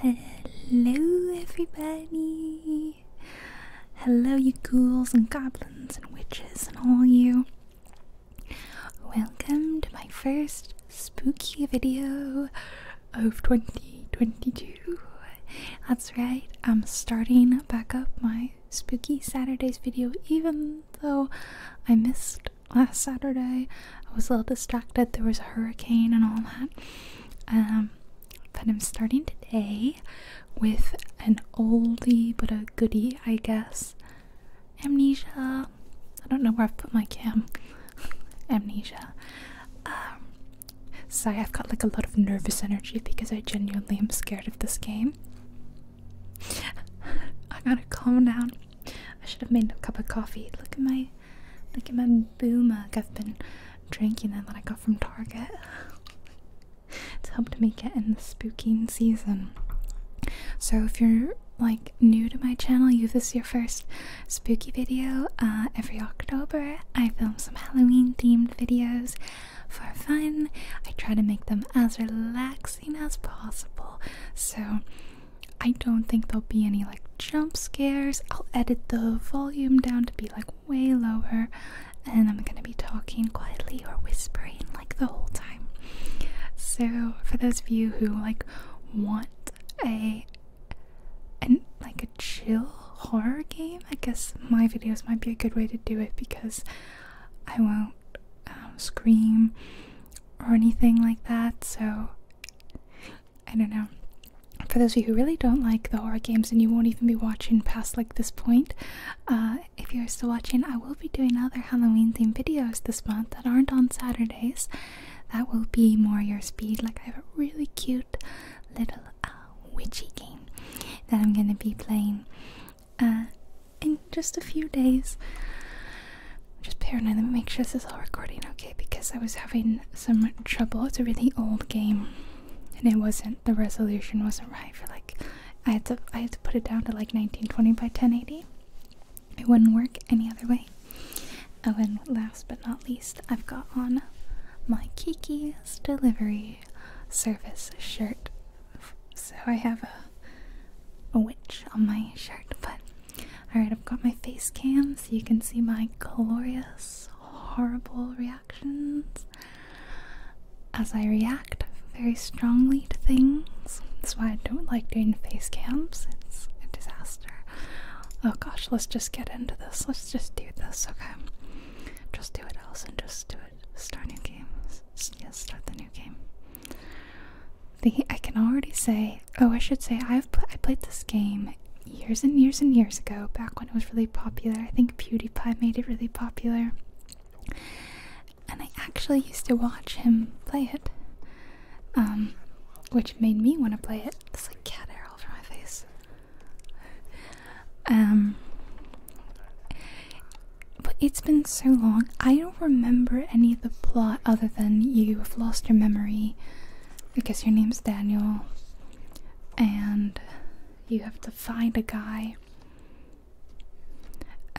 Hello, everybody! Hello, you ghouls and goblins and witches and all you. Welcome to my first spooky video of 2022. That's right, I'm starting back up my spooky Saturdays video, even though I missed last Saturday. I was a little distracted. There was a hurricane and all that. Um, but I'm starting today with an oldie but a goodie, I guess. Amnesia. I don't know where I've put my cam. Amnesia. Um, sorry, I've got like a lot of nervous energy because I genuinely am scared of this game. I gotta calm down. I should have made a cup of coffee. Look at my look at my boo mug. I've been drinking that that I got from Target. it's helped me get in the spooking season. So if you're like new to my channel, you this is your first spooky video. Uh, every October, I film some Halloween themed videos for fun. I try to make them as relaxing as possible. So I don't think there'll be any like jump scares. I'll edit the volume down to be like way lower, and I'm gonna be talking quietly or whispering like the whole time. So for those of you who like want a and like a chill horror game, I guess my videos might be a good way to do it because I won't um, scream or anything like that. So I don't know. For those of you who really don't like the horror games and you won't even be watching past like this point, uh, if you're still watching, I will be doing other Halloween themed videos this month that aren't on Saturdays. That will be more your speed. Like I have a really cute little uh, witchy game that I'm gonna be playing uh, in just a few days. I'm just paranoid. Let me make sure this is all recording okay because I was having some trouble. It's a really old game and it wasn't the resolution wasn't right for like I had to I had to put it down to like 1920 by 1080. It wouldn't work any other way. Oh and last but not least I've got on my Kiki's delivery service shirt. So I have a witch on my shirt, but Alright, I've got my face cam so you can see my glorious, horrible reactions as I react very strongly to things. That's why I don't like doing face cams, it's a disaster. Oh gosh, let's just get into this. Let's just do this, okay? Just do it, Allison. Just do it. Start new game. Yes, start the new game. I can already say, oh, I should say I've I played this game years and years and years ago, back when it was really popular. I think PewDiePie made it really popular, and I actually used to watch him play it, um, which made me want to play it. It's like cat hair all over my face. Um, but it's been so long. I don't remember any of the plot other than you have lost your memory because your name's Daniel and you have to find a guy.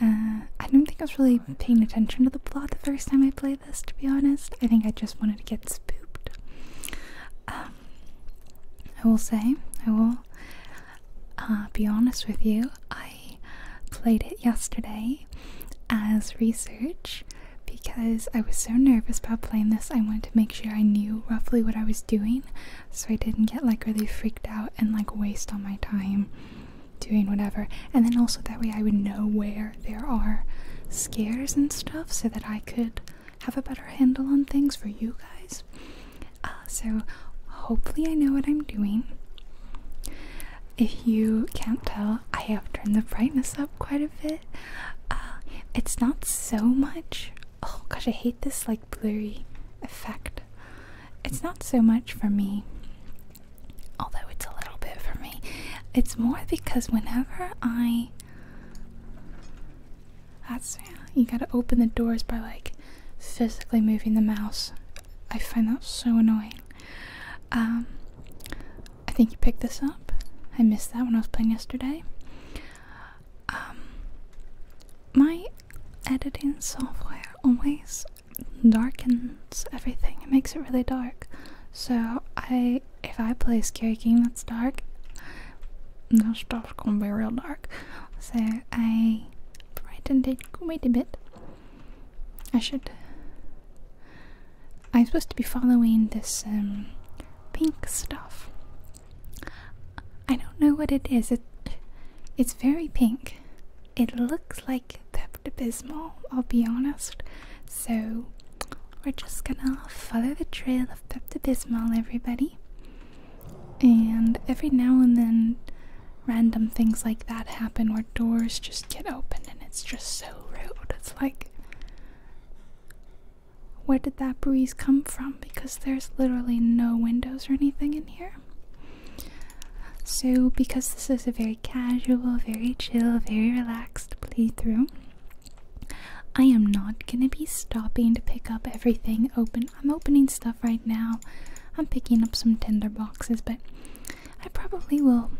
Uh, I don't think I was really paying attention to the plot the first time I played this, to be honest. I think I just wanted to get spooked. Um, I will say, I will uh, be honest with you, I played it yesterday as research because I was so nervous about playing this. I wanted to make sure I knew roughly what I was doing so I didn't get like really freaked out and like waste all my time doing whatever. And then also that way I would know where there are scares and stuff so that I could have a better handle on things for you guys. Uh, so hopefully I know what I'm doing if you can't tell, I have turned the brightness up quite a bit. Uh, it's not so much. Oh gosh, I hate this like blurry effect. It's not so much for me, although it's a little bit for me. It's more because whenever I. That's. You gotta open the doors by like physically moving the mouse. I find that so annoying. Um, I think you picked this up. I missed that when I was playing yesterday. Um, my editing software always darkens everything. It makes it really dark. So I, if I play a scary game that's dark, that stuff's gonna be real dark. So I brightened it quite a bit. I should I'm supposed to be following this um, pink stuff. I don't know what it is. It, it's very pink. It looks like Pepto Bismol, I'll be honest. So we're just gonna follow the trail of Pepto Bismol, everybody. And every now and then, random things like that happen where doors just get opened, and it's just so rude. It's like, where did that breeze come from? Because there's literally no windows or anything in here. So, because this is a very casual, very chill, very relaxed playthrough, I am not gonna be stopping to pick up everything open. I'm opening stuff right now. I'm picking up some tinder boxes, but I probably will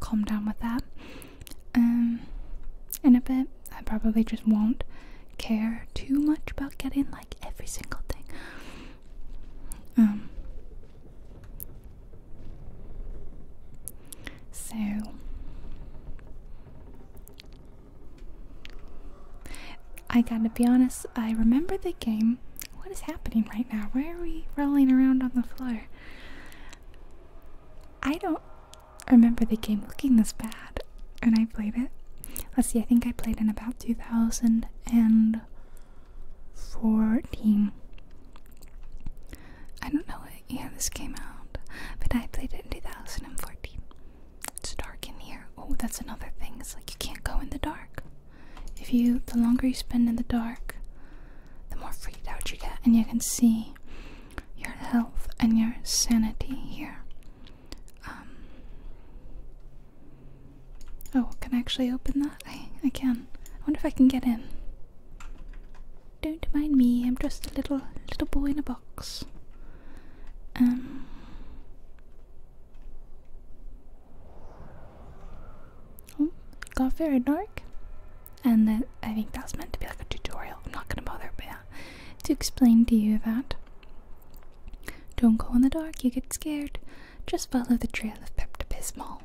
calm down with that um, in a bit. I probably just won't care too much about getting like every single thing. Um, so I gotta be honest, I remember the game. What is happening right now? Why are we rolling around on the floor? I don't remember the game looking this bad when I played it. Let's see, I think I played in about 2014. I don't know what this came out, but I played it in 2014. It's dark in here. Oh, that's another thing. It's like you can't go in the dark. If you, the longer you spend in the dark, the more freaked out you get. And you can see your health and your sanity here. Um, oh, can I actually open that? I, can. I wonder if I can get in. Don't mind me, I'm just a little little boy in a box. Um, Oh, it got very dark. And then I think that was meant to be like a tutorial. I'm not gonna bother, but yeah, to explain to you that don't go in the dark, you get scared. Just follow the trail of Pepto-Bismol,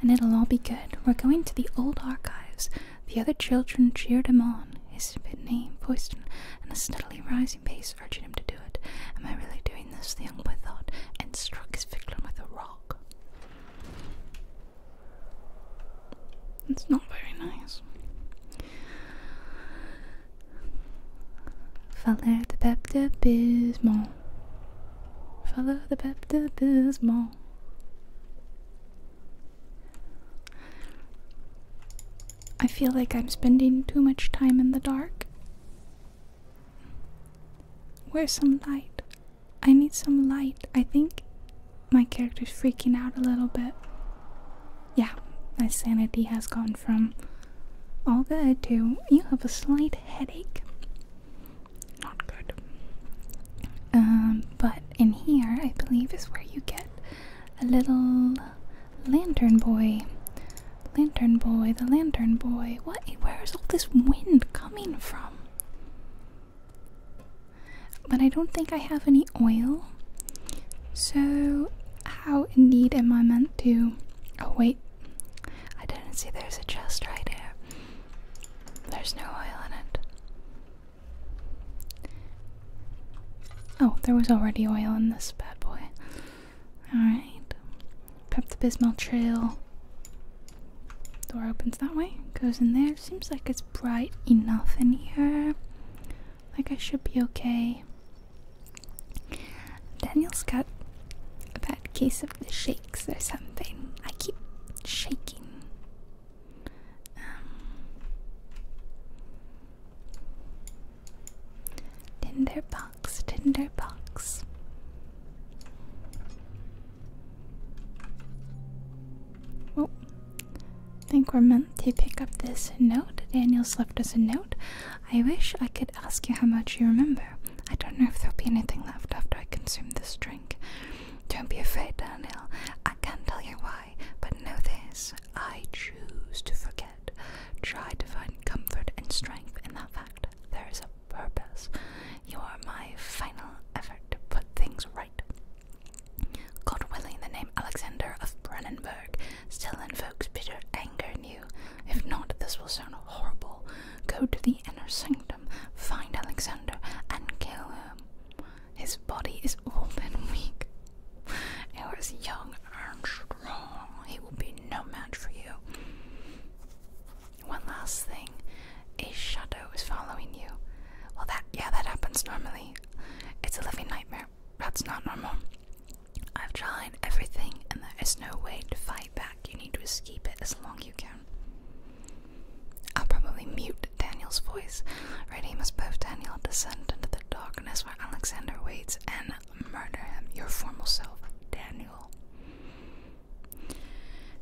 and it'll all be good. We're going to the old archives. The other children cheered him on. His fit name, voiced and a steadily rising pace, urging him to do it. Am I really doing this? The young boy thought, and struck his victim with a rock. It's not very nice. Falar de baptismal. Falar de baptismal. I feel like I'm spending too much time in the dark. Where's some light? I need some light. I think my character's freaking out a little bit. Yeah, my sanity has gone from all good to you have a slight headache. Not good. Um, but in here, I believe, is where you get a little lantern boy. Lantern boy, the lantern boy. What? Where is all this wind coming from? But I don't think I have any oil. So, how indeed am I meant to. Oh, wait. I didn't see there's a chest right here. There's no oil in it. Oh, there was already oil in this bad boy. Alright. Pep the Bismol Trail. Door opens that way, goes in there. Seems like it's bright enough in here. Like I should be okay. Daniel's got a bad case of the shakes or something. I keep shaking. Um, Tinderbox, box. Oh, I think we're meant to pick up this note. Daniel's left us a note. I wish I could ask you how much you remember. I don't know if there'll be anything left after I consume this drink. Don't be afraid, Daniel. I can't tell you why, but know this. I choose to forget. Try to find comfort and strength in that fact. There is a purpose. You are my final effort to put things right. God willing, the name Alexander of Brandenburg still invokes bitter anger in you. If not, this will sound horrible. Go to the inner sanctum, find Alexander, and kill him. His body is old and weak. He was young and strong. He will be no match for you. One last thing. A shadow is following you. Well, that, yeah, that happens normally. It's a living nightmare. That's not normal. I've tried everything, and there is no way to fight back. You need to escape it as long as you can. I'll probably mute Daniel's voice. Ready? Must both, Daniel. Descend into the darkness where Alexander waits and murder him, your former self, Daniel.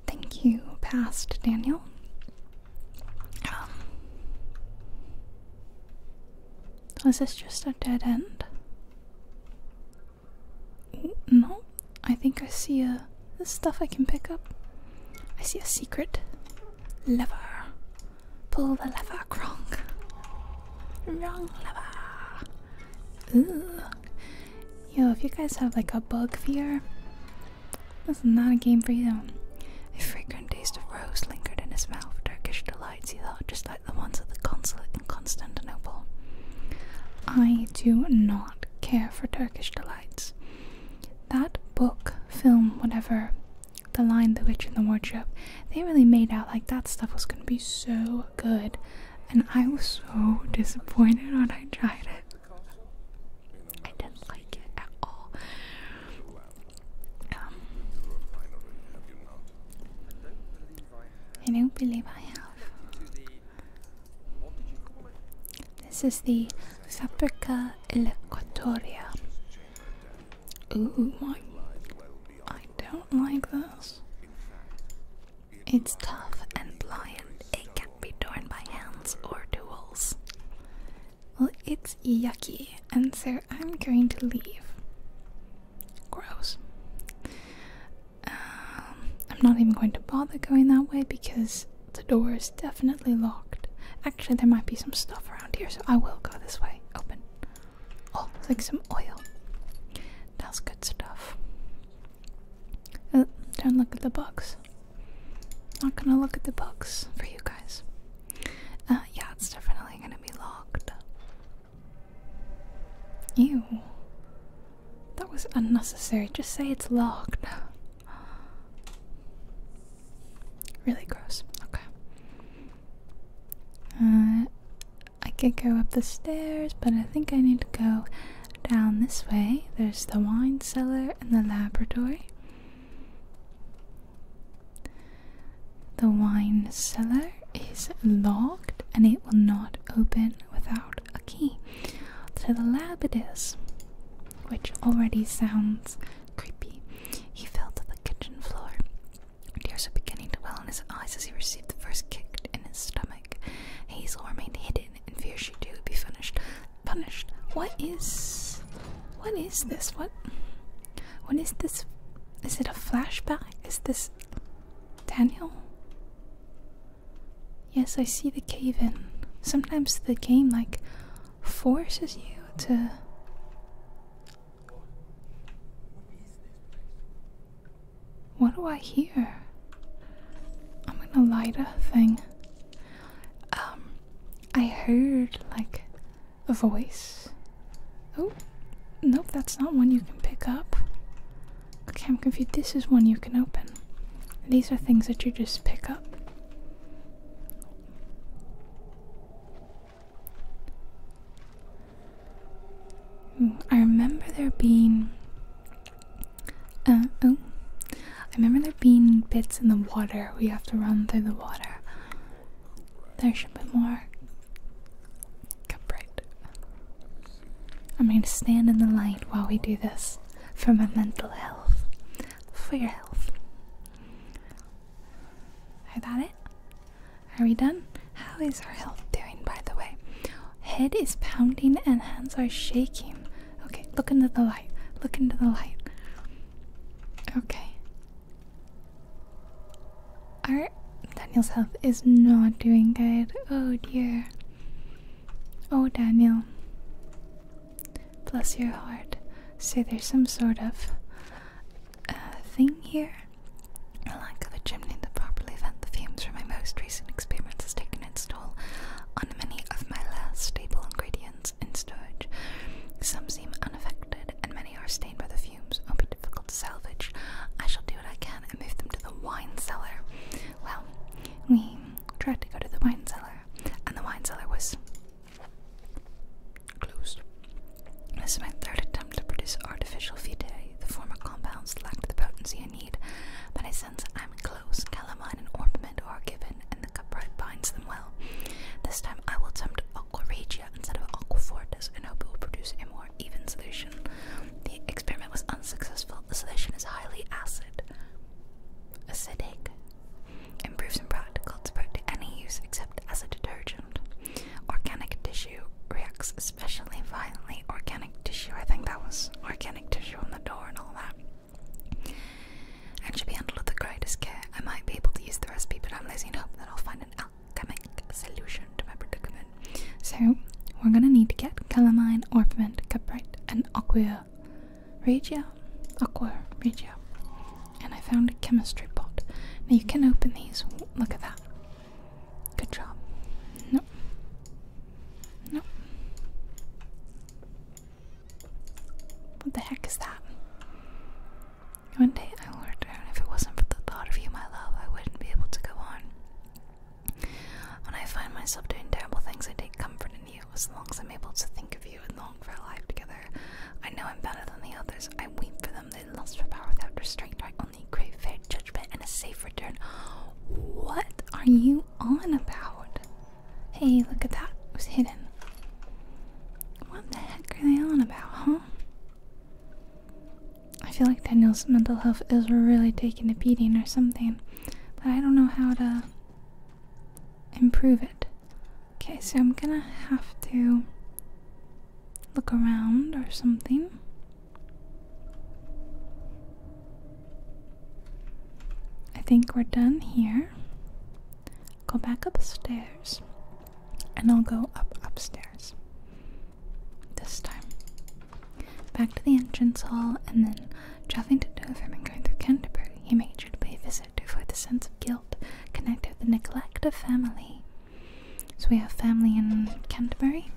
Thank you, past Daniel. Um, was this just a dead end? No, I think I see a. This stuff I can pick up. I see a secret lever. Pull the lever, Kronk. Wrong lever. Ooh. Yo, if you guys have like a bug fear, that's not a game for you. A fragrant taste of rose lingered in his mouth, Turkish delights, he thought, just like the ones at the consulate in Constantinople. I do not care for Turkish delights. That book, film, whatever, The Lion, the Witch, and the Wardrobe, they really made out like that stuff was gonna be so good. And I was so disappointed when I tried it. I didn't like it at all. Um, I don't believe I have. This is the Saprica Equatoria. Ooh, my. I don't like this. It's tough and pliant. It be torn by hands or tools. Well, it's yucky, and so I'm going to leave. Gross. Um, I'm not even going to bother going that way because the door is definitely locked. Actually, there might be some stuff around here, so I will go this way. Open. Oh, it's like some oil. That's good stuff. Uh, don't look at the box not gonna look at the books for you guys. Uh, yeah, it's definitely gonna be locked. Ew. That was unnecessary. Just say it's locked. Really gross. Okay. Uh, I could go up the stairs, but I think I need to go down this way, there's the wine cellar and the laboratory. The wine cellar is locked and it will not open without a key. To the lab it is, which already sounds creepy. He fell to the kitchen floor. Tears were beginning to well in his eyes as he received the first kick in his stomach. Hazel remained hidden in fear she too would be finished punished. What is what is this? What what is this? Is it a flashback? Is this Daniel? Yes, I see the cave in. Sometimes the game like forces you to What do I hear? I'm gonna light a thing um, I heard like a voice. Oh, nope, that's not one you can pick up. Okay, I'm confused. This is one you can open. These are things that you just pick up. Mm, I remember there being uh, oh, I remember there being bits in the water. We have to run through the water. There should be more. Capright. I'm going to stand in the light while we do this for my mental health, for your health. Is that it? Are we done? How is our health doing, by the way? Head is pounding and hands are shaking. Okay, look into the light. Look into the light. Okay. All right, Daniel's health is not doing good. Oh dear. Oh, Daniel. Bless your heart. So there's some sort of uh, thing here. A lack of a chimney to properly vent the fumes from my most recent experiments has taken its toll on many of my last stable ingredients in storage. Some seem unaffected, and many are stained by the fumes or be difficult to salvage. I shall do what I can and move them to the wine cellar. Well, we tried to go to the wine cellar, and the wine cellar was closed. This is my third attempt to produce artificial fetae. The former compounds lacked the potency I need, but I sense I'm close calamine and ornament are given, and the cupright binds them well. This time I will attempt aqua regia instead of aqua fortis and hope it will produce a more even solution. The experiment was unsuccessful. The solution is highly acid. Acidic. Improves in practical. It's put to any use except as a detergent. Organic tissue reacts especially violently. Organic tissue. I think that was organic tissue on the door and all that and should be handled with the greatest care. I might be able to use the recipe, but I'm losing hope that I'll find an alchemic solution to my predicament. So, we're gonna need to get calamine, orpiment, cuprite, and aqua regia. Aqua regia. And I found a chemistry pot. Now, you can open these. Look at that. Good job. Nope. Nope. What the heck is that? One day I will return. If it wasn't for the thought of you, my love, I wouldn't be able to go on. When I find myself doing terrible things, I take comfort in you. As long as I'm able to think of you and long for our life together, I know I'm better than the others. I weep for them. They lust for power without restraint. I only crave fair judgment and a safe return. What are you on about? Hey, look at that. It was hidden. What the heck are they on about, huh? I feel like Daniel's mental health is really taking a beating or something, but I don't know how to improve it. Okay, so I'm gonna have to look around or something. I think we're done here. Go back upstairs, and I'll go up upstairs this time. Back to the entrance hall, and then, driving to Dover and going through Canterbury, he made sure to pay a visit to avoid the sense of guilt connected with the neglect of family. So we have family in Canterbury.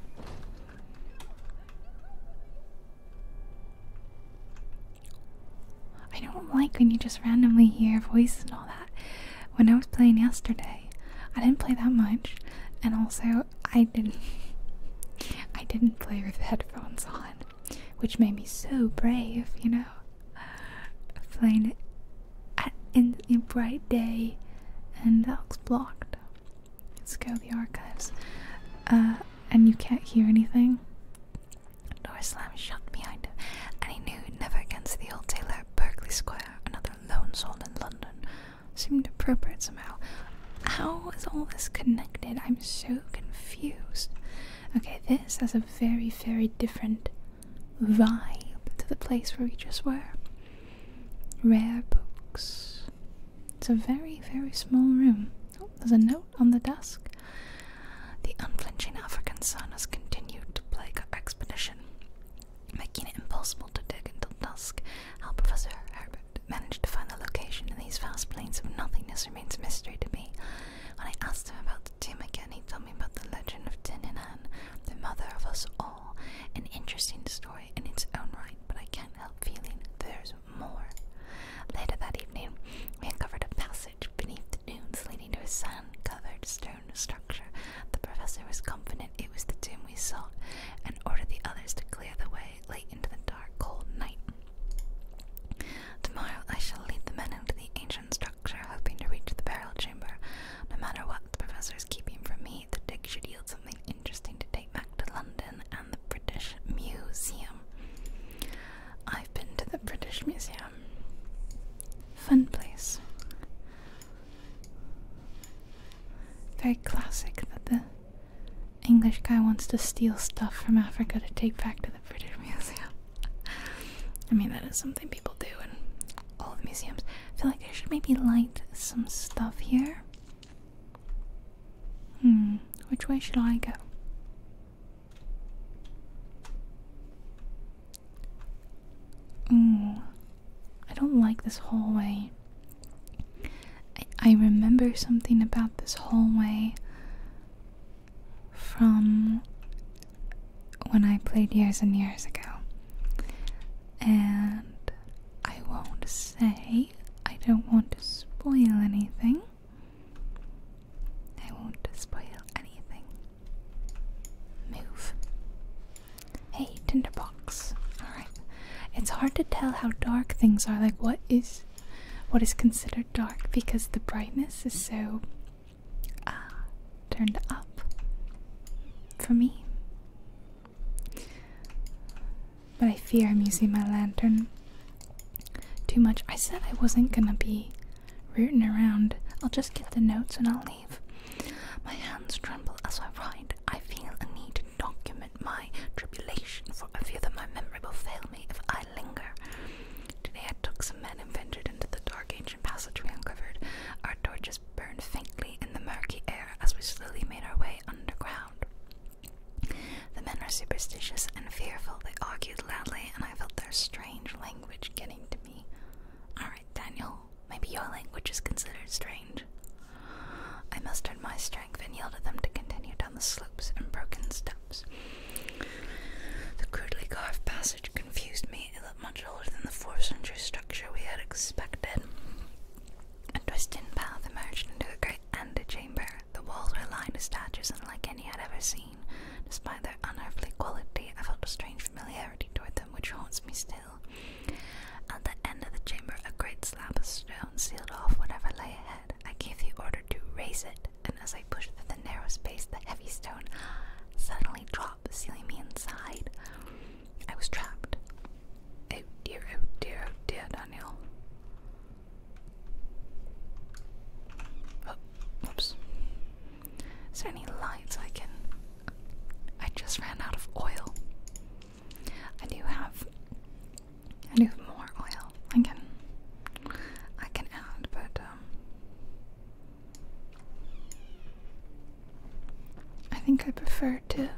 I don't like when you just randomly hear voices and all that. When I was playing yesterday, I didn't play that much, and also I didn't I didn't play with headphones on, which made me so brave, you know. Playing at, in bright day, and that looks blocked. Let's go the archives. Uh, and you can't hear anything. Door slammed shut behind him, and he knew never again see the old tailor at Berkeley Square, another lone soul in London. Seemed appropriate somehow. How is all this connected? I'm so confused. Okay, this has a very, very different vibe to the place where we just were. Rare books. It's a very, very small room there's a note on the desk. The unflinching African sun has continued to plague our expedition, making it impossible to dig until dusk. How Professor Herbert managed to find the location in these vast plains of nothingness remains a mystery to me. When I asked him about the tomb again, he told me about the legend of Tininan, the mother of us all. An interesting story in its own right, but I can't help feeling there's more. Later that evening, we uncovered a passage beneath the dunes leading to a sand covered stone structure. The professor was confident it was the tomb we sought and ordered the others to clear the way late into the dark, cold night. Tomorrow I shall lead the men into the ancient structure, hoping to reach the burial chamber. No matter what the professor is keeping from me, the dig should yield something interesting to take back to London and the British Museum. I've been to the British Museum. Fun place. Very classic that the English guy wants to steal stuff from Africa to take back to the British Museum. I mean, that is something people do in all the museums. I feel like I should maybe light some stuff here. Hmm, which way should I go? Mm, I don't like this hallway. I, I remember something about this hallway from when I played years and years ago. And I won't say, I don't want to spoil anything. I won't spoil anything. Move. Hey, tinderbox. Alright. It's hard to tell how dark things are, like what is what is considered dark because the brightness is so uh, turned up for me. But I fear I'm using my lantern too much. I said I wasn't gonna be rooting around. I'll just get the notes and I'll leave. My hands tremble as I write. I feel a need to document my tribulation, for I fear that my memory will fail me if I linger. Today I took some men and ventured into the dark ancient passage we uncovered. Our torches burned faintly in the murky air as we slowly made our way underground. The men were superstitious and fearful. They argued loudly, and I felt their strength strange language getting to me. Alright, Daniel, maybe your language is considered strange. I mustered my strength and yelled at them to continue down the slopes and broken steps. The crudely carved passage confused me. It looked much older than the fourth century structure we had expected. A twisting path emerged into a great antechamber. The walls were lined with statues unlike any I'd ever seen. Despite their unearthly quality, I felt a strange familiarity toward them which haunts me still. At the end of the chamber, a great slab of stone sealed off whatever lay ahead. I gave the order to raise it, and as I pushed through the narrow space, the heavy stone suddenly dropped, sealing me inside. I was trapped. Oh dear, oh dear, oh dear, Daniel. Oh, Is there any lights I can. I just ran out of oil. I do have. I do have more oil. I can. I can add, but, um. I think I prefer to.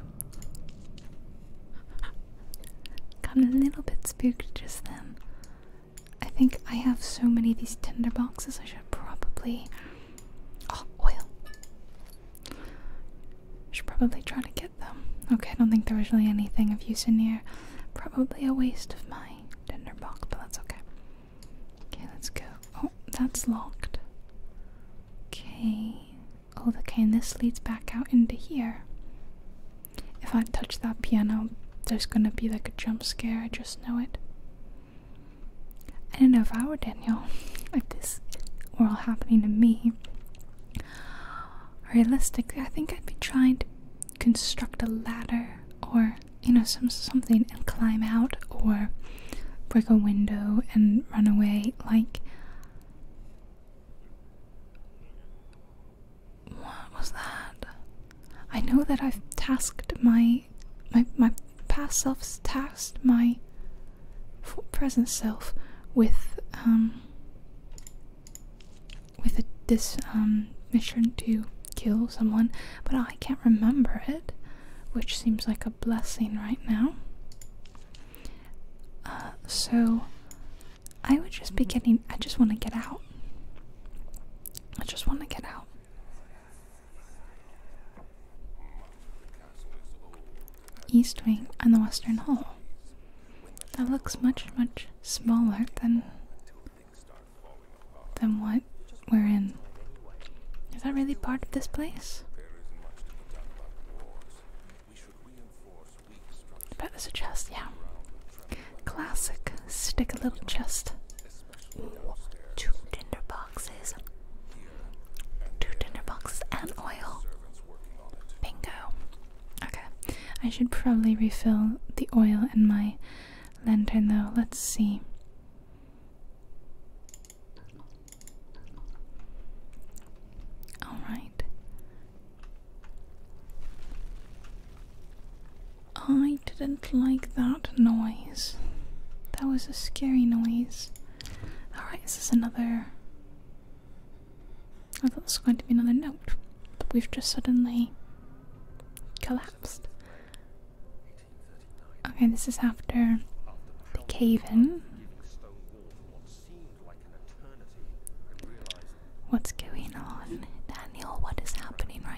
Got a little bit spooked just then. I think I have so many of these tinder boxes I should probably Oh, oil. Should probably try to get them. Okay, I don't think there was really anything of use in here. Probably a waste of my tinder box, but that's okay. Okay, let's go. Oh, that's locked. Okay. Oh, okay, and this leads back out into here. If I touch that piano, there's gonna be like a jump scare, I just know it. I don't know if I were Daniel, if this were all happening to me. Realistically, I think I'd be trying to construct a ladder or, you know, some something and climb out or break a window and run away. Like what was that? I know that I've tasked my my my past self tasked my present self with um with this um, mission to kill someone, but I can't remember it, which seems like a blessing right now. Uh, so I would just be getting. I just want to get out. I just want to get out. East Wing and the Western Hall. That looks much, much smaller than than what we're in. Is that really part of this place? I bet yeah. Classic. Stick a little chest. two tinder boxes. Two tinder boxes and oil. Bingo. Okay. I should probably refill the oil in my lantern though. Let's see. Alright. I didn't like that noise. That was a scary noise. Alright, this is another. I thought this was going to be another note, but we've just suddenly collapsed. Okay, this is after the cave in. What's going on? Daniel, what is happening right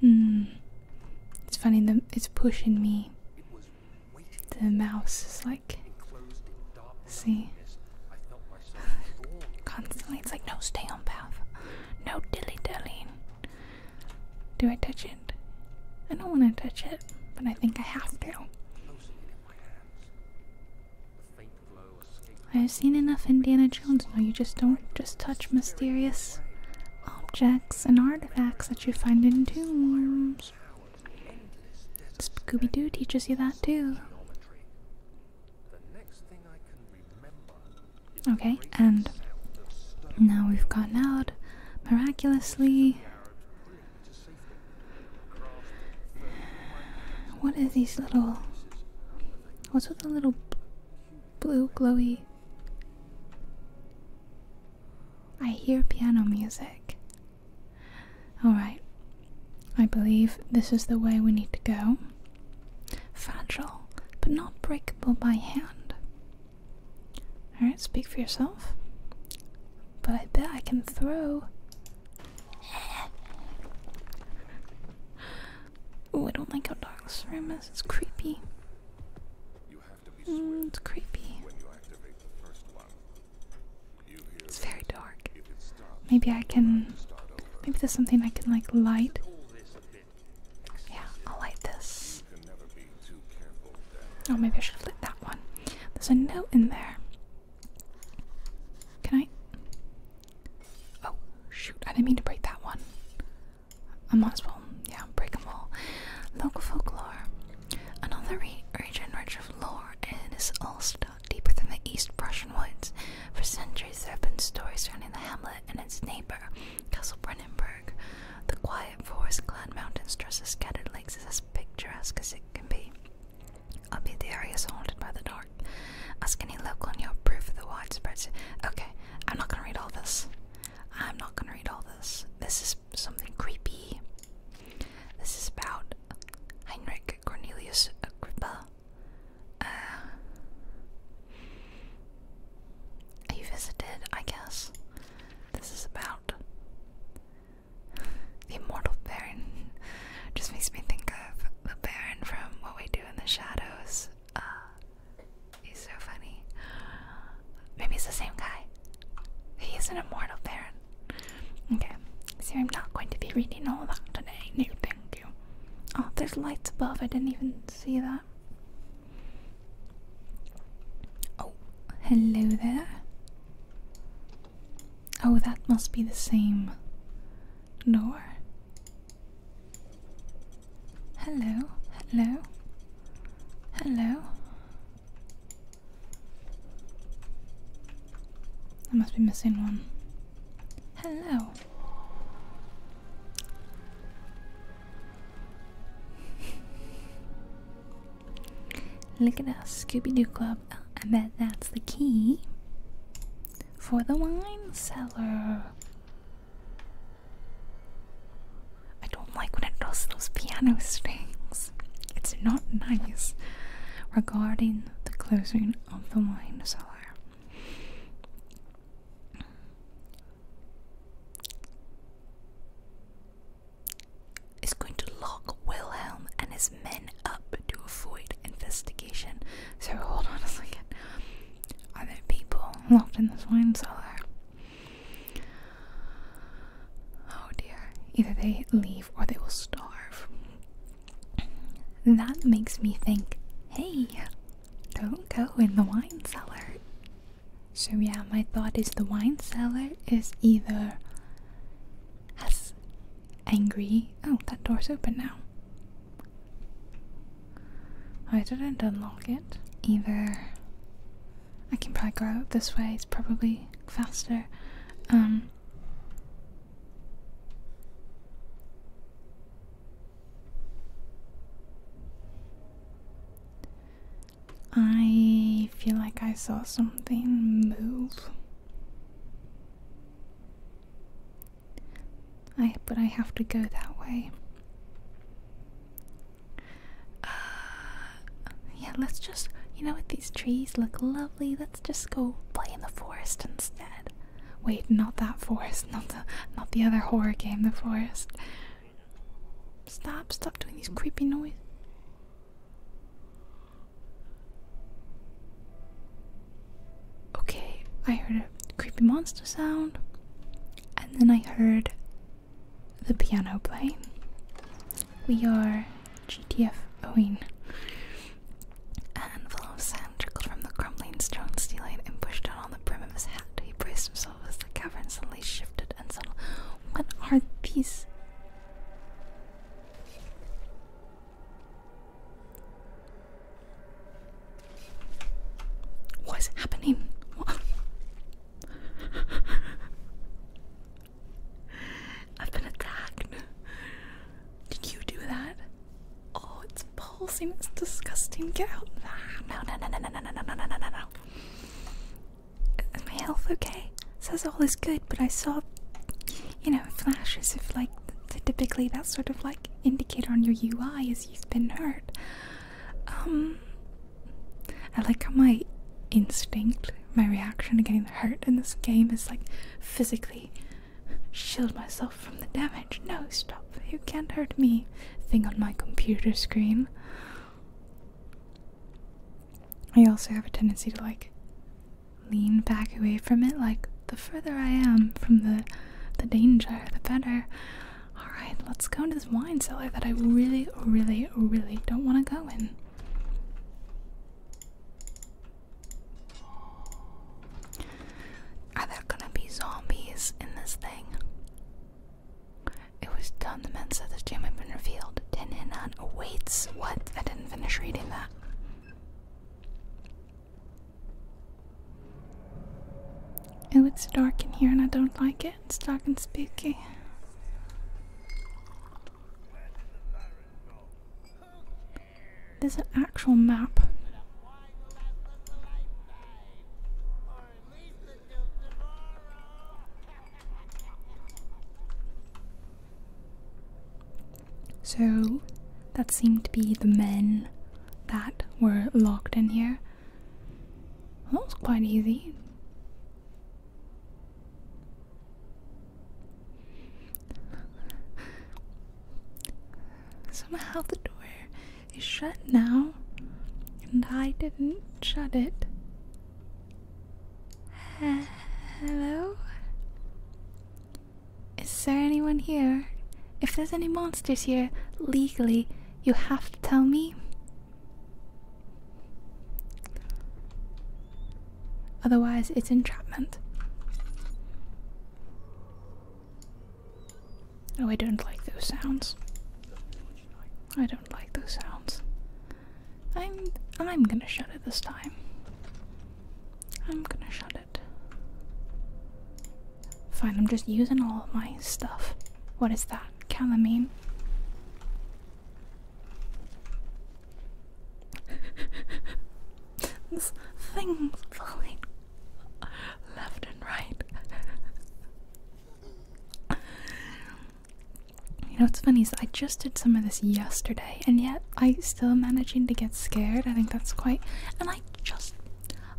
Hmm. It's funny that it's pushing me. The mouse is like. See? Constantly, it's like, no, stay on path. No dilly dallying. Do I touch it? I don't want to touch it, but I think I have to. I've seen enough Indiana Jones. No, you just don't just touch mysterious objects and artifacts that you find in tombs. Scooby Doo teaches you that too. Okay, and now we've gotten out miraculously. What are these little. What's with the little blue glowy. I hear piano music. Alright, I believe this is the way we need to go. Fragile, but not breakable by hand. Alright, speak for yourself. But I bet I can throw. Oh, I don't like how dark this room is. It's creepy it's mm, creepy. it's very dark. maybe I can. Maybe there's something I can like light. Yeah, I'll light this. oh, maybe I should have lit that one. There's a note in there. Can I? Oh, shoot! I didn't mean to break that one. I might as well, yeah, break them all. Local folklore. Another region rich of lore and is Ulster, deeper than the East Prussian woods. For centuries, there have been stories surrounding the hamlet and its neighbor, Castle Brennenburg. The quiet forest-clad mountain stretches scattered lakes is as picturesque as it can be. Albeit the area is haunted by the dark. Ask any local and you'll prove the widespread. Okay, I'm not gonna read all this. I'm not gonna read all this. This is something creepy. This is about Heinrich Cornelius Agrippa. Uh, he visited, I guess. This is about the immortal Baron. Just makes me think of the Baron from What We Do in the Shadows. Uh, He's so funny. Maybe it's the same guy. He's an immortal parent. Okay, so I'm not going to be reading all that today. No, thank you. Oh, there's lights above. I didn't even see that. Oh, hello there. Oh, that must be the same door. Hello, hello, hello. I must be missing one. Hello. Look at us, Scooby Doo Club. I bet that's the key for the wine cellar. I don't like when it does piano strings. It's not nice regarding the closing of the wine cellar. Is going to lock Wilhelm and his men up to avoid investigation. So hold on a second. Are there people locked in this wine cellar? Oh dear. Either they leave or they will starve. That makes me think hey, don't go in the wine cellar. So, yeah, my thought is the wine cellar is either as angry. Oh, that door's open now. I didn't unlock it. Either I can probably go this way, it's probably faster. Um, I feel like I saw something move. I but I have to go that way. Uh, yeah, let's just, you know what, these trees look lovely. Let's just go play in the forest instead. Wait, not that forest, not the, not the other horror game, the forest. Stop, stop doing these creepy noises. Okay, I heard a creepy monster sound, and then I heard the piano playing. We are GTF Owen. A handful of sand trickled from the crumbling stone ceiling and pushed down on the brim of his hat. He braced himself as the cavern suddenly shifted and settled. What are these? What's happening? I've been attacked. Did you do that? Oh, it's pulsing. It's disgusting. Get out. No, no, no, no, no, no, no, no, no, no, no, no. Is my health okay? It says all is good, but I saw, you know, flashes of like, typically that sort of like indicator on your UI is you've been hurt. Um, I like how my instinct, my reaction to getting hurt in this game is like physically shield myself from the damage. No, stop. You can't hurt me. Thing on my computer screen. I also have a tendency to like lean back away from it. Like the further I am from the the danger, the better. Alright, let's go into this wine cellar that I really, really, really don't want to go in. Are there gonna be zombies in this thing? It was done, the men said this gem had been revealed. Ten Hinan awaits. What? I didn't finish reading that. Oh, it's dark in here and I don't like it. It's dark and spooky. There's an actual map. So that seemed to be the men that were locked in here. that was quite easy. Somehow the door is shut now, and I didn't shut it. hello? Is there anyone here? If there's any monsters here, legally, you have to tell me. Otherwise, it's entrapment. Oh, I don't like those sounds. I don't like those sounds. I'm I'm gonna shut it this time. I'm gonna shut it. Fine, I'm just using all of my stuff. What is that? calamine. There's things falling left and right. you know what's funny is I just did some of this yesterday and yet I still managing to get scared. I think that's quite and I just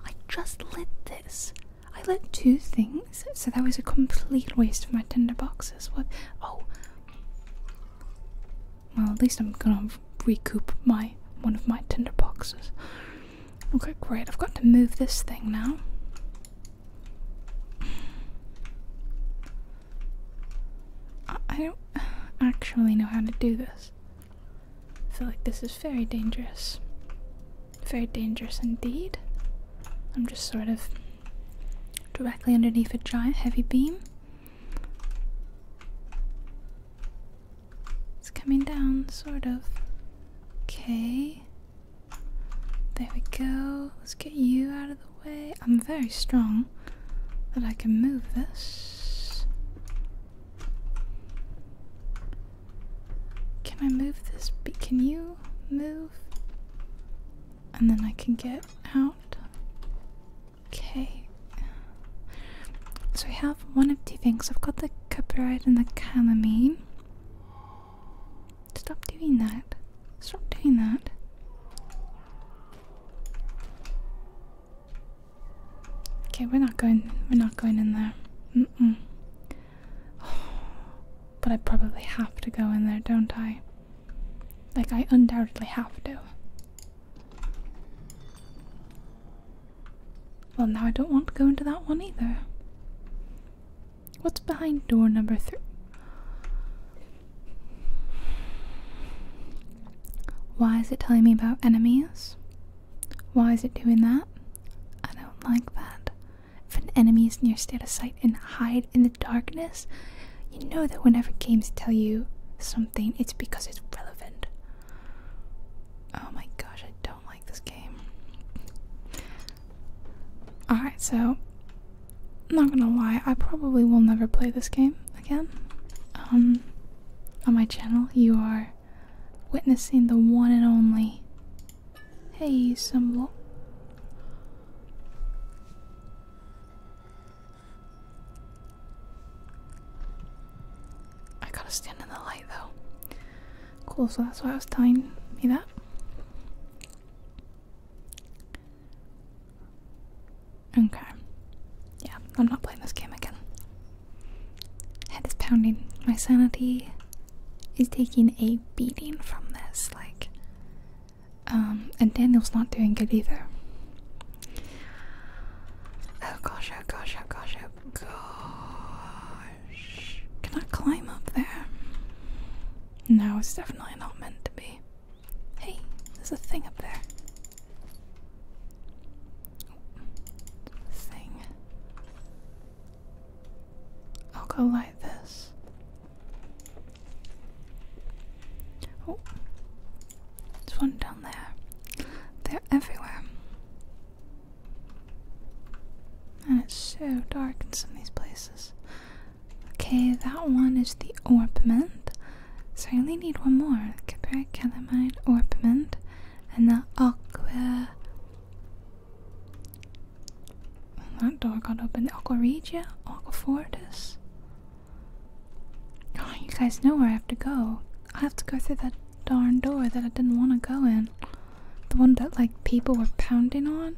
I just lit this I let two things, so that was a complete waste of my tinder boxes. What? Oh. Well, at least I'm gonna recoup my one of my tinder boxes. Okay, great. I've got to move this thing now. I don't actually know how to do this. I feel like this is very dangerous. Very dangerous indeed. I'm just sort of directly underneath a giant heavy beam. It's coming down, sort of. Okay. There we go. Let's get you out of the way. I'm very strong but I can move this. Can I move this? Can you move and then I can get out. Okay. So we have one of two things. I've got the copyright and the calamine. Stop doing that. Stop doing that. Okay, we're not going we're not going in there. Mm-mm. But I probably have to go in there, don't I? Like, I undoubtedly have to. Well, now I don't want to go into that one either. What's behind door number three? Why is it telling me about enemies? Why is it doing that? I don't like that. If an enemy is near, stay out of sight and hide in the darkness. You know that whenever games tell you something, it's because it's relevant. Oh my gosh, I don't like this game. Alright, so. I'm not gonna lie, I probably will never play this game again. Um, on my channel, you are witnessing the one and only Hey, symbol. I gotta stand in the light though. Cool, so that's why I was telling you that. Okay. Yeah, I'm not playing this game again. Head is pounding. My sanity is taking a beating from this. Like, um, and Daniel's not doing good either. Oh gosh, oh gosh, oh gosh, oh gosh. Can I climb up there? No, it's definitely not meant to be. Hey, there's a thing up there. Thing. I'll go like this. Oh, there's one down there. They're everywhere. And it's so dark in some of these places. Okay, that one is the orpiment. So I only need one more. Capric, calamine, orpiment, and the aqua that door got opened. Aquaregia? Aquafortis? Oh, you guys know where I have to go. I have to go through that darn door that I didn't want to go in. The one that, like, people were pounding on.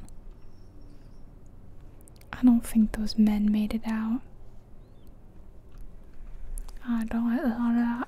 I don't think those men made it out. I don't. like of that.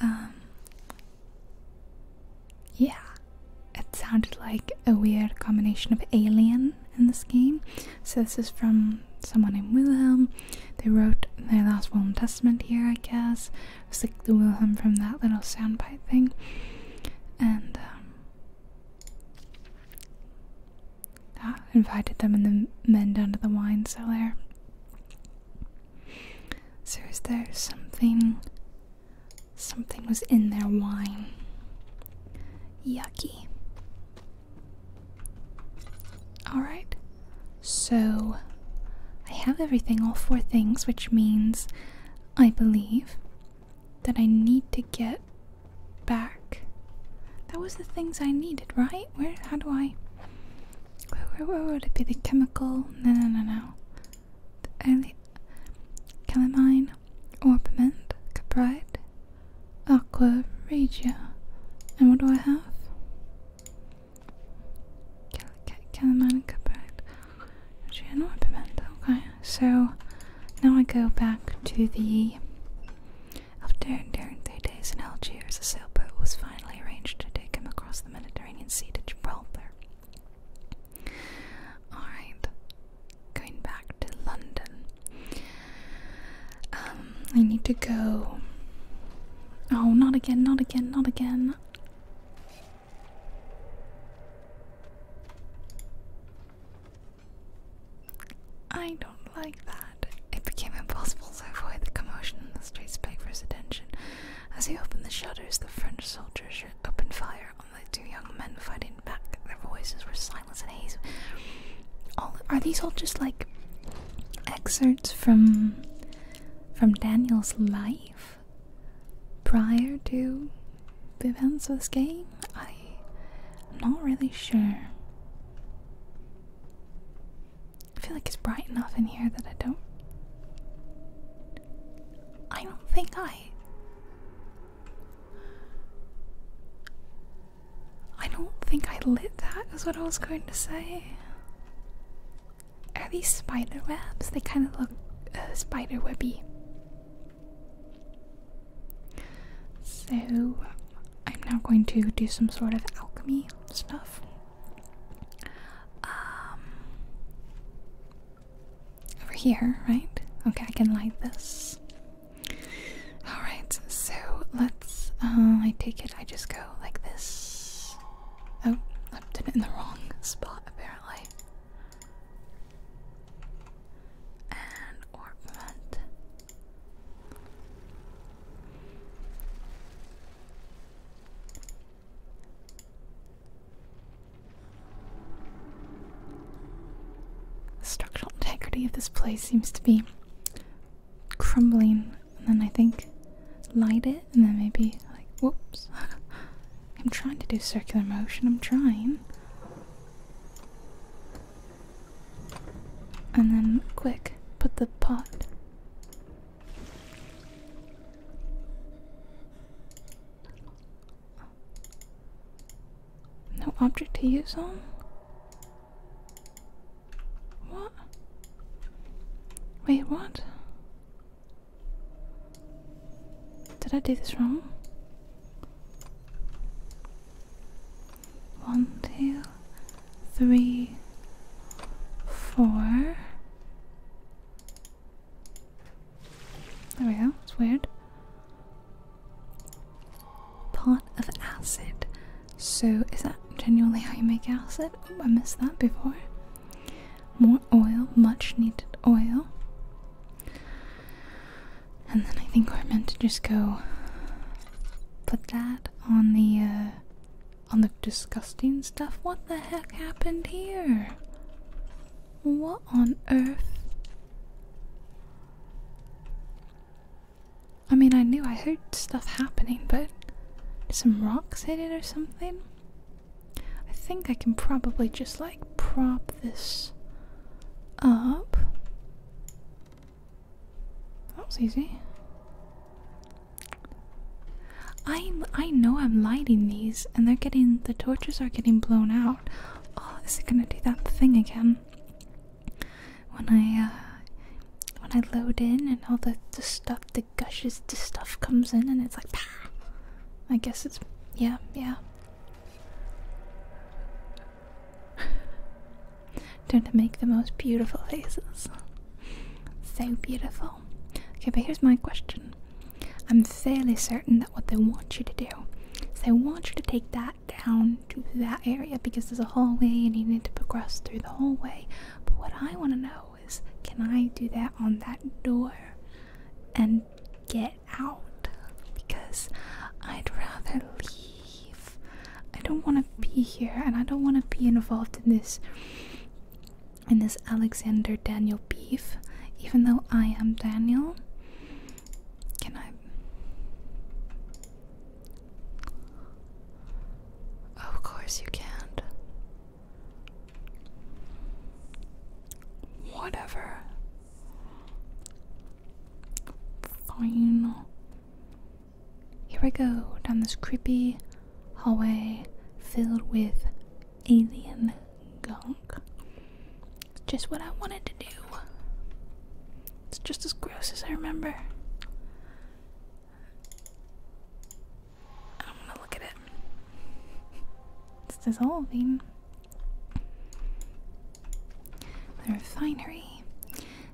Um, yeah, it sounded like a weird combination of alien in this game. So this is from someone named Wilhelm. They wrote their last will and testament here, I guess. It like the Wilhelm from that little soundbite thing. And um, invited them and the men down to the wine cellar. So is there something something was in their wine? Yucky. Alright. So I have everything, all four things, which means I believe that I need to get back that was the things I needed, right? Where? How do I? Where, where, where would it be? The chemical? No, no, no, no. The early calamine, orpiment, caprite, aqua regia. And what do I have? calamine, caprite, and orpiment. Okay, so now I go back to the after enduring three days in Algiers, a sailboat was finally arranged to take him across the Mediterranean Sea to Gibraltar. Alright, going back to London. Um, I need to go. Oh, not again, not again, not again. I don't like that. It became impossible to avoid the commotion in the streets begged for his attention. As he opened the shutters, the French soldiers opened fire on the two young men fighting back. Their voices were silence and haze. All are these all just like excerpts from from Daniel's life prior to the events of this game? I'm not really sure. I feel like it's bright enough in here that I don't. I don't think I. I don't think I lit that, is what I was going to say. Are these spider webs? They kind of look uh, spider webby. So, I'm now going to do some sort of alchemy stuff. Um, over here, right? Okay, I can light this. Alright, so let's. Uh, I take it I just go like this. Oh, I did it in the wrong spot apparently. And ornament. The structural integrity of this place seems to be crumbling, and then I think light it, and then maybe like whoops. I'm trying to do circular motion, I'm trying. And then, quick, put the pot. No object to use on? What? Wait, what? Did I do this wrong? one, two, three, four. There we go, it's weird. Part of acid. So, is that genuinely how you make acid? Oh, I missed that before. More oil, much needed oil. And then I think we're meant to just go put that on the uh, on the disgusting stuff. What the heck happened here? What on earth? I mean, I knew I heard stuff happening, but some rocks hit it or something? I think I can probably just like prop this up. That was easy. I I know I'm lighting these, and they're getting the torches are getting blown out. Oh, is it gonna do that thing again? When I uh, when I load in and all the the stuff, the gushes, the stuff comes in, and it's like, I guess it's yeah, yeah. Don't make the most beautiful faces. So beautiful. Okay, but here's my question. I'm fairly certain that what they want you to do is they want you to take that down to that area because there's a hallway and you need to progress through the hallway. But what I want to know is can I do that on that door and get out? Because I'd rather leave I don't want to be here and I don't want to be involved in this in this Alexander Daniel beef even though I am Daniel. Can I Of course you can't. Whatever. Fine. Here we go down this creepy hallway filled with alien gunk. It's just what I wanted to do. It's just as gross as I remember. I don't want to look at it. It's dissolving. The refinery.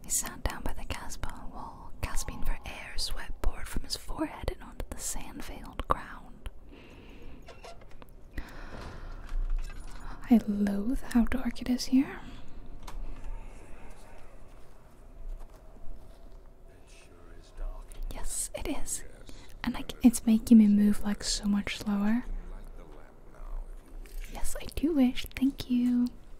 He sat down by the gas wall, gasping for air. Sweat poured from his forehead and onto the sand-veiled ground. I loathe how dark it is here. Yes, it is. and like it's making me move like so much slower. Yes, I do wish. Thank you.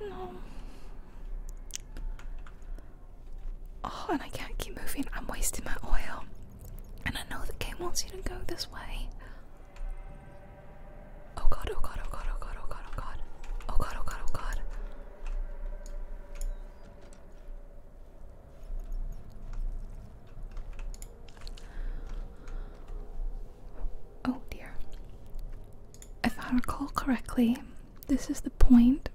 No. Oh, and I can't keep moving. I'm wasting my oil. And I know the game wants you to go this way. Oh god, oh god, oh god, oh god, oh god, oh god. Oh god, oh god, oh god. Oh dear if I recall correctly, this is the point.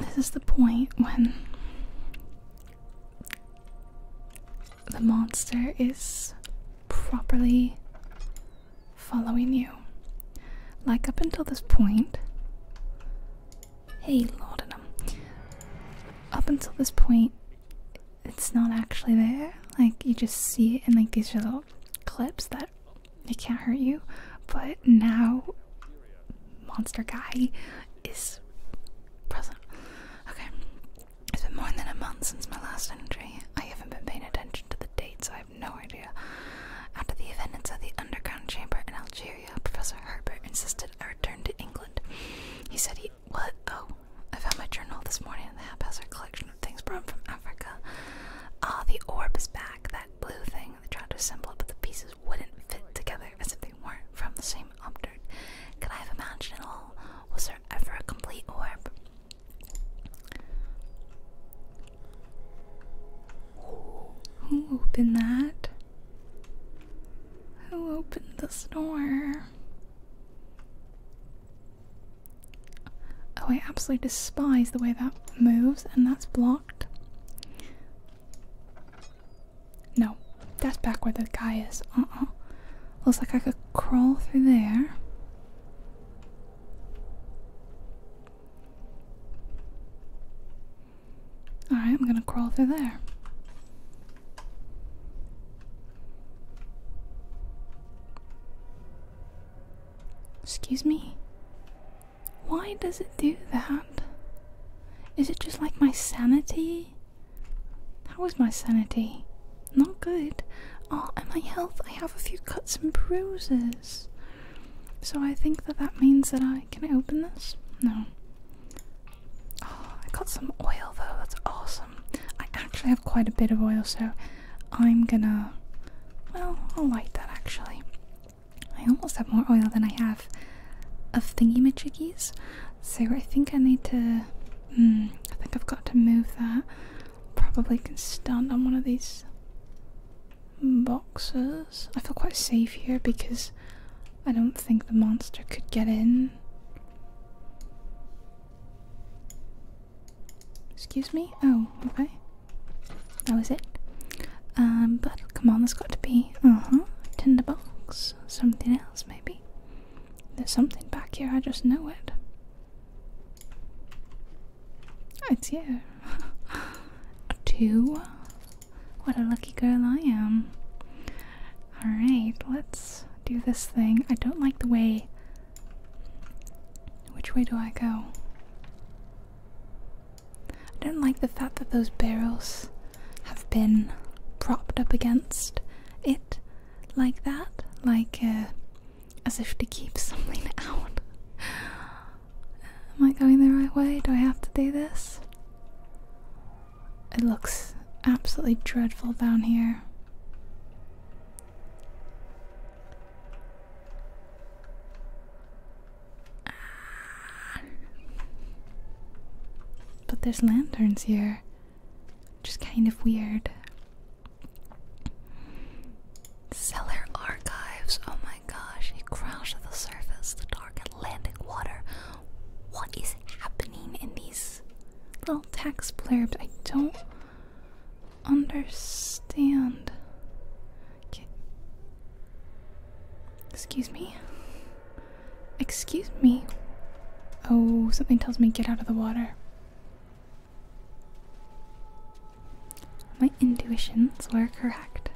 This is the point when the monster is properly following you. Like up until this point, hey laudanum. Up until this point, it's not actually there. Like you just see it in like these little clips that it can't hurt you, but now Monster Guy is present. Okay, it's been more than a month since my last entry. I haven't been paying attention to the dates, I have no idea. After the events of the underground chamber in Algeria, Professor Herbert insisted I return to England. He said he. What? Oh, I found my journal this morning in the haphazard collection things brought from Africa. Ah, the orb is back, that blue thing. They tried to assemble it, but the pieces wouldn't fit together as if they weren't from the same object. Could I have imagined it all? Was there ever a complete orb? Who opened that? Who opened this door? Oh, I absolutely despise the way that moves, and that's blocked. No, that's back where the guy is. Uh uh. Looks like I could crawl through there. Alright, I'm gonna crawl through there. Excuse me? Why does it do that? Is it just like my sanity? How is my sanity? Not good. Oh, and my health. I have a few cuts and bruises. So I think that that means that I. Can I open this? No. Oh, I got some oil though. That's awesome. I actually have quite a bit of oil, so I'm gonna. Well, I'll light that actually. I almost have more oil than I have of thingy majiggies, so I think I need to. Hmm, I think I've got to move that. Probably can stand on one of these boxes. I feel quite safe here because I don't think the monster could get in. Excuse me? Oh, okay. That was it. Um, but come on, there's got to be, uh-huh, tinderbox, something else maybe. There's something back here, I just know it. It's you. Two. What a lucky girl I am. Alright, let's do this thing. I don't like the way which way do I go? I don't like the fact that those barrels have been propped up against it like that, like uh, as if to keep something out. Am I going the right way? Do I have to do this? It looks absolutely dreadful down here. Ah. But there's lanterns here. Just kind of weird. Cellar archives. Oh my gosh. He crashed to the surface. The dark Atlantic water. What is happening in these little text blurbs? I don't understand. Excuse me. Excuse me. Oh, something tells me get out of the water. My intuitions were correct.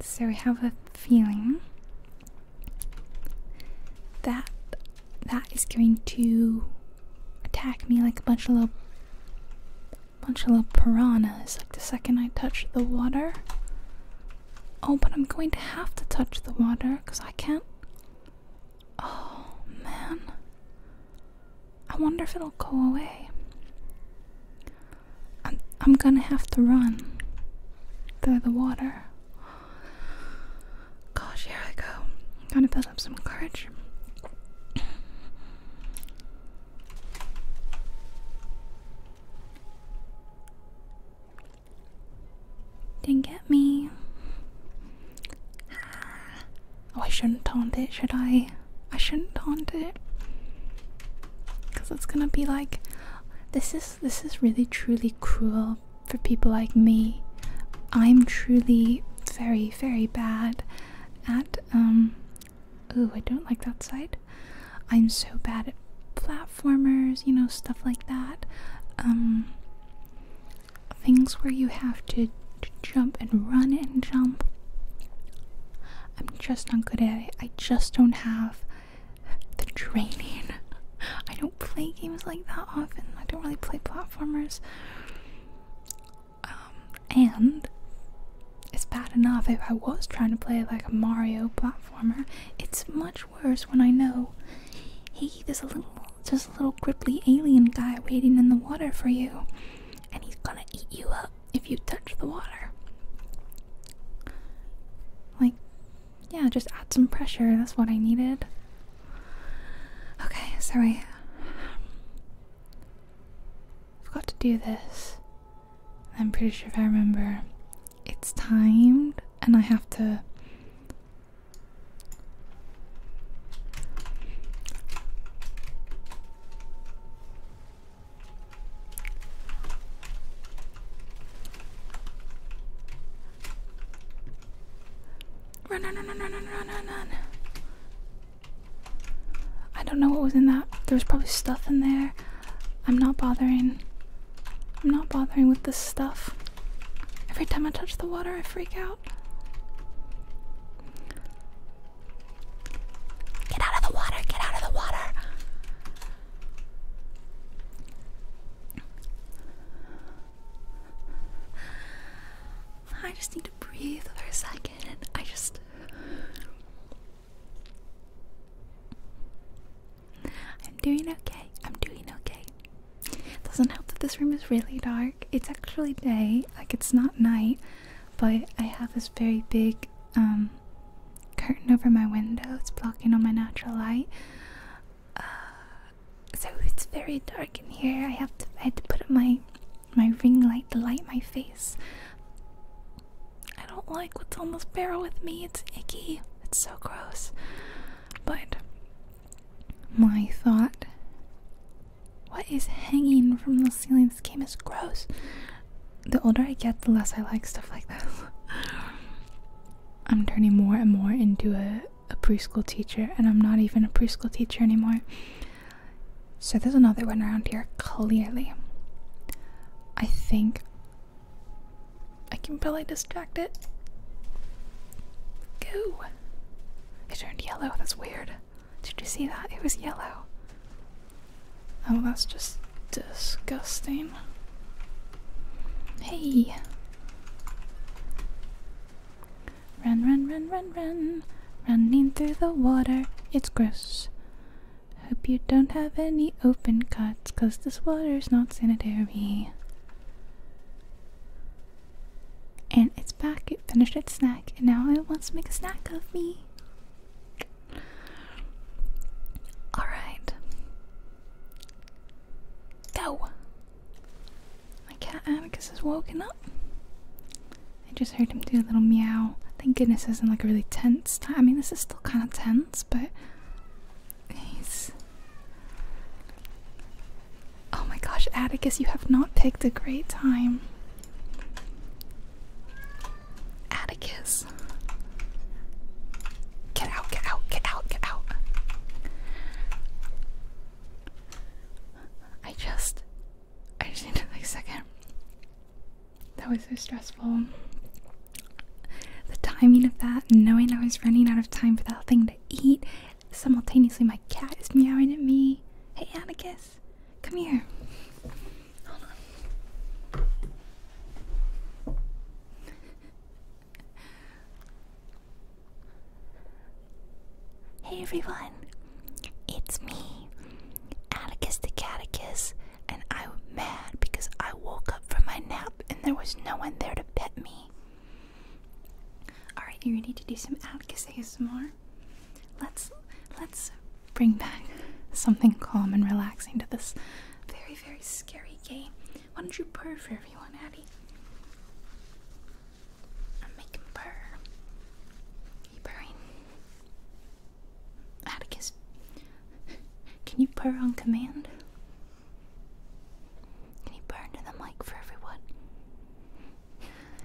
So we have a feeling that that is going to attack me like a bunch of little bunch of little piranhas like the second I touch the water. Oh, but I'm going to have to touch the water because I can't. Oh man. I wonder if it'll go away. I'm gonna have to run through the water. Gosh, here I go. Kind of felt shows up some courage. Didn't get me. Oh, I shouldn't taunt it, should I? I shouldn't taunt it. Cause it's gonna be like this is this is really truly cruel for people like me. I'm truly very very, bad at, um, Oh, I don't like that side. I'm so bad at platformers, you know, stuff like that. Um, things where you have to jump and run and jump. I'm just not good at it. I just don't have the training. I don't play games like that often. I don't really play platformers. Um, and it's bad enough if I was trying to play like a Mario platformer. It's much worse when I know, hey, there's a little, just a little gripply alien guy waiting in the water for you, and he's gonna eat you up if you touch the water. Like, yeah, just add some pressure. That's what I needed. Okay, sorry. I've got to do this. I'm pretty sure if I remember, it's timed, and I have to. Run, run, run, run, run, run, run, run. I don't know what was in that. There was probably stuff in there. I'm not bothering. I'm not bothering with this stuff. Every time I touch the water, I freak out. Get out of the water! Get out of the water! I just need to breathe for a second. I just. I'm doing okay. I'm doing okay. It doesn't help that this room is really dark. It's actually day, like it's not night, but I have this very big um curtain over my window. It's blocking all my natural light. Uh, so it's very dark in here. I have to I had to put up my my ring light to light my face. I don't like what's on this barrel with me. It's icky. It's so gross. But my thought what is hanging from the ceiling? This game is gross. The older I get, the less I like stuff like this. I'm turning more and more into a, preschool teacher, and I'm not even a preschool teacher anymore. So there's another one around here, clearly. I think I can probably distract it. Go! It turned yellow, that's weird. Did you see that? It was yellow. Oh, that's just disgusting. Hey! Run, run, run, run, run. Running through the water, it's gross. Hope you don't have any open cuts, cause this water's not sanitary. And it's back, it finished its snack, and now it wants to make a snack of me. Alright. Go! My cat Atticus has woken up. I just heard him do a little meow. Thank goodness this isn't like a really tense I mean, this is still kind of tense, but he's. Oh my gosh, Atticus, you have not picked a great time. Atticus. Get out, get out, get out, get out. I just I just need to like second. That was so stressful. The timing of that, knowing I was running out of time for that thing to eat, simultaneously my cat is meowing at me. Hey Anarchus, come here. Hey everyone, it's me, Atticus the Catechus, and I'm mad because I woke up from my nap and there was no one there to pet me. Alright, you ready to do some Atticus ASMR? Let's let's bring back something calm and relaxing to this very, very scary game. Why don't you purr for everyone, Addie? And make him purr. He purring. Atticus, can you purr on command? Can you purr into the mic for everyone?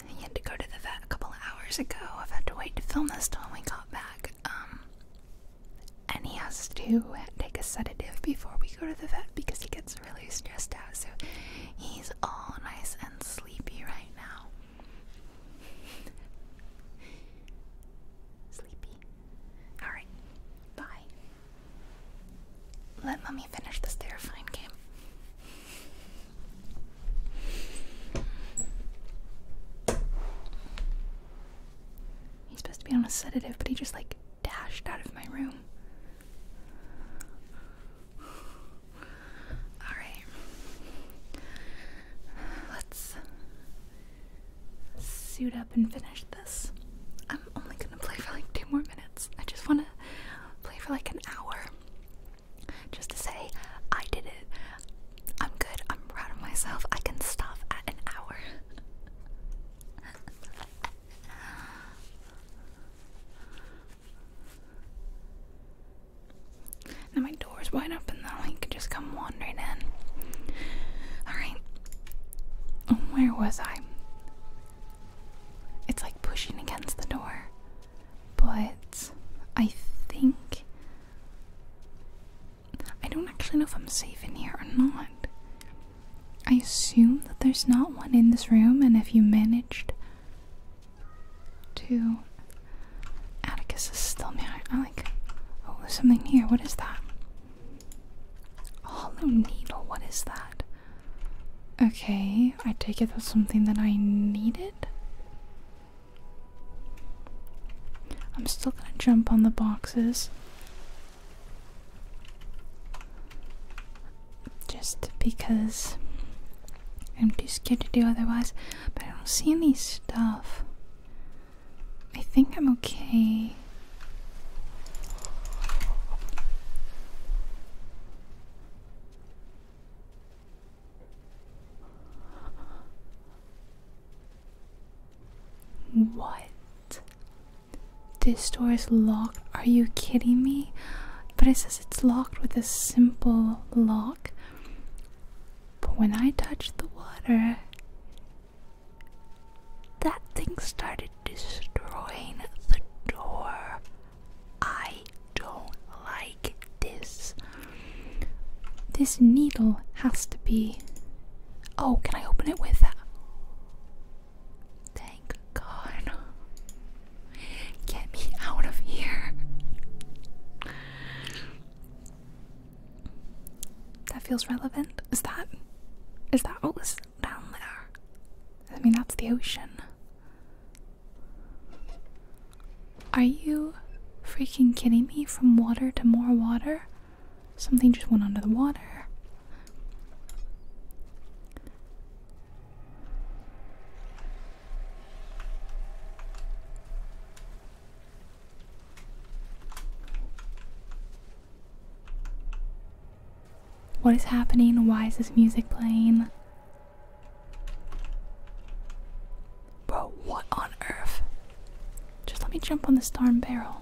He had to go to the vet a couple of hours ago. I've had to wait to film this till we got back. Um, and he has to take a sedative before we go to the vet because he gets really stressed out. So he's all nice and sleepy right now. Sleepy. Alright, bye. Let mommy finish this terrifying game. He's supposed to be on a sedative, but he just like dashed out of my room. Alright. Let's suit up and finish this. I'm only gonna play for like two more minutes. I just wanna play for like an hour. Just to say, I did it. I'm good. I'm proud of myself. I can stop at an hour. Now my door's wide open though, he could just come wandering in. Alright. Oh, where was I? It's like pushing against the door. But I think I don't actually know if I'm safe in here or not. I assume that there's not one in this room, and if you managed Two. Atticus is still mad. I like. Oh, there's something here. What is that? A hollow needle. What is that? Okay, I take it that's something that I needed. I'm still gonna jump on the boxes. Just because I'm too scared to do otherwise, but I don't see any stuff. I think I'm okay. What? This door is locked. Are you kidding me? but it says it's locked with a simple lock. But when I touched the water, that thing started destroying the door. I don't like this. This needle has to be. Oh, can I open it with that? Thank God. Get me out of here. That feels relevant. Is that is that what was down there? I mean that's the ocean. Are you freaking kidding me? From water to more water? Something just went under the water. What is happening? Why is this music playing? Bro, what on earth? Just let me jump on this darn barrel.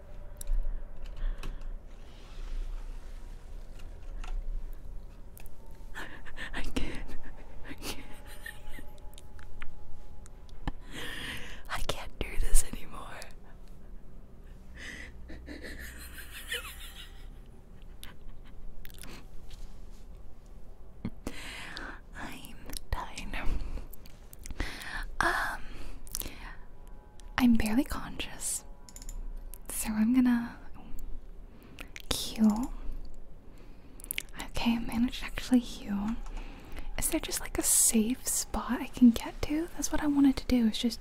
I can't. I can't. I can't do this anymore. I'm dying. Um, I'm barely conscious. So I'm gonna heal. Okay, I managed to actually heal. Is there just like a safe spot I can get to? That's what I wanted to do, is just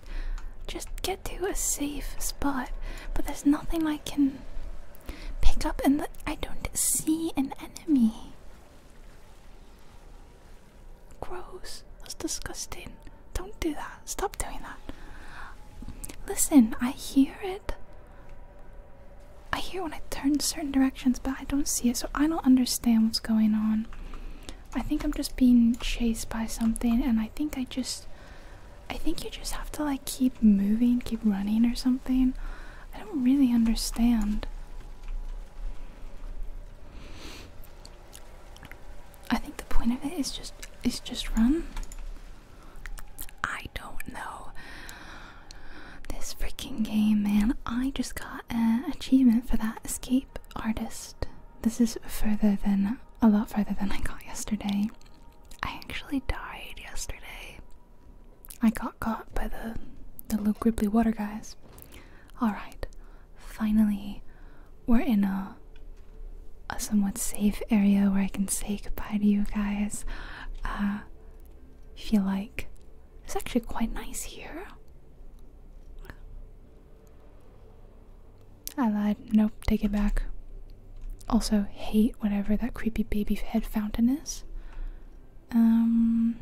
just get to a safe spot. But there's nothing I can pick up and I don't see an enemy. Gross. That's disgusting. Don't do that. Stop doing that. Listen, I hear it. I hear when I turn certain directions, but I don't see it, so I don't understand what's going on. I think I'm just being chased by something, and I think I just. I think you just have to like keep moving, keep running or something. I don't really understand. I think the point of it is just is just run. I don't know. This freaking game, man. I just got an achievement for that escape artist. This is further than a lot further than I got yesterday. I actually died yesterday. I got caught by the the little gribbly water guys. Alright, finally, we're in a, a somewhat safe area where I can say goodbye to you guys. Uh, feel like it's actually quite nice here. I lied. Nope, take it back. Also, hate whatever that creepy baby head fountain is. Um.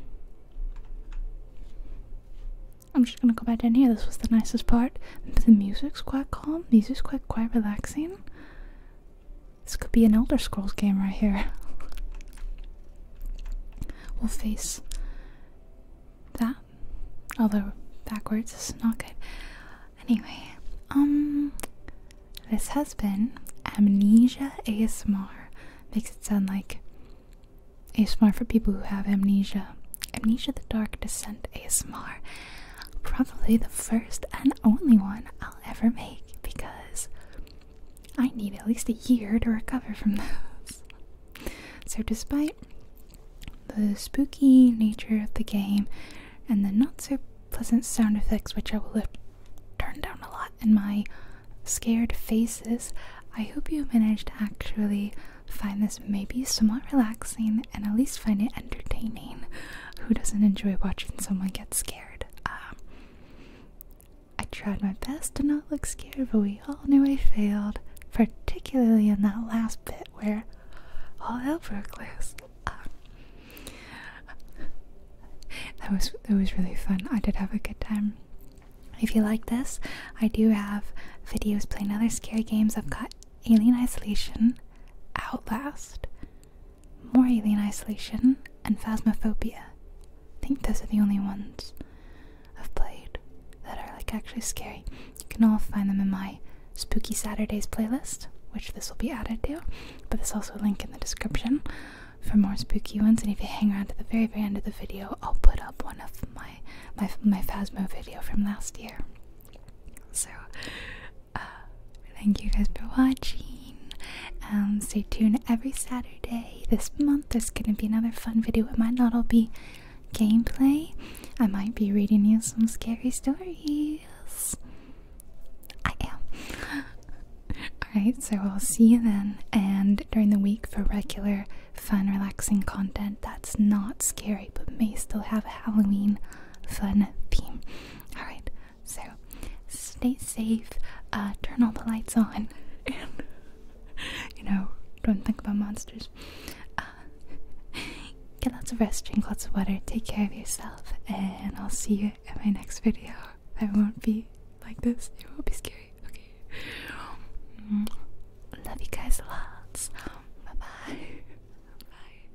I'm just gonna go back in here. This was the nicest part. The music's quite calm. Music's quite quite relaxing. This could be an Elder Scrolls game right here. we'll face that. Although backwards is not good. Anyway, um this has been Amnesia ASMR. Makes it sound like ASMR for people who have amnesia. Amnesia the Dark Descent ASMR. Probably the first and only one I'll ever make because I need at least a year to recover from those. So, despite the spooky nature of the game and the not so pleasant sound effects, which I will have turned down a lot in my scared faces, I hope you managed actually find this maybe somewhat relaxing and at least find it entertaining. Who doesn't enjoy watching someone get scared? Uh, I tried my best to not look scared, but we all knew I failed, particularly in that last bit where all hell broke loose. Uh, that was that was really fun. I did have a good time. If you like this, I do have videos playing other scary games. I've got Alien Isolation, Outlast, more Alien Isolation, and Phasmophobia. I think those are the only ones I've played that are like actually scary. You can all find them in my Spooky Saturdays playlist, which this will be added to, but there's also a link in the description for more spooky ones. And if you hang around to the very, very end of the video, I'll put up one of my my my Phasmo video from last year. So, uh, thank you guys for watching. Um, stay tuned every Saturday this month. There's gonna be another fun video. It might not all be gameplay. I might be reading you some scary stories. I am. Alright, so I'll see you then and during the week for regular fun, relaxing content that's not scary but may still have a Halloween fun theme. Alright, so stay safe, uh, turn all the lights on, and you know, don't think about monsters. Uh, get lots of rest, drink lots of water, take care of yourself, and I'll see you in my next video. I won't be like this, it won't be scary. Love you guys lots. Bye bye. Bye.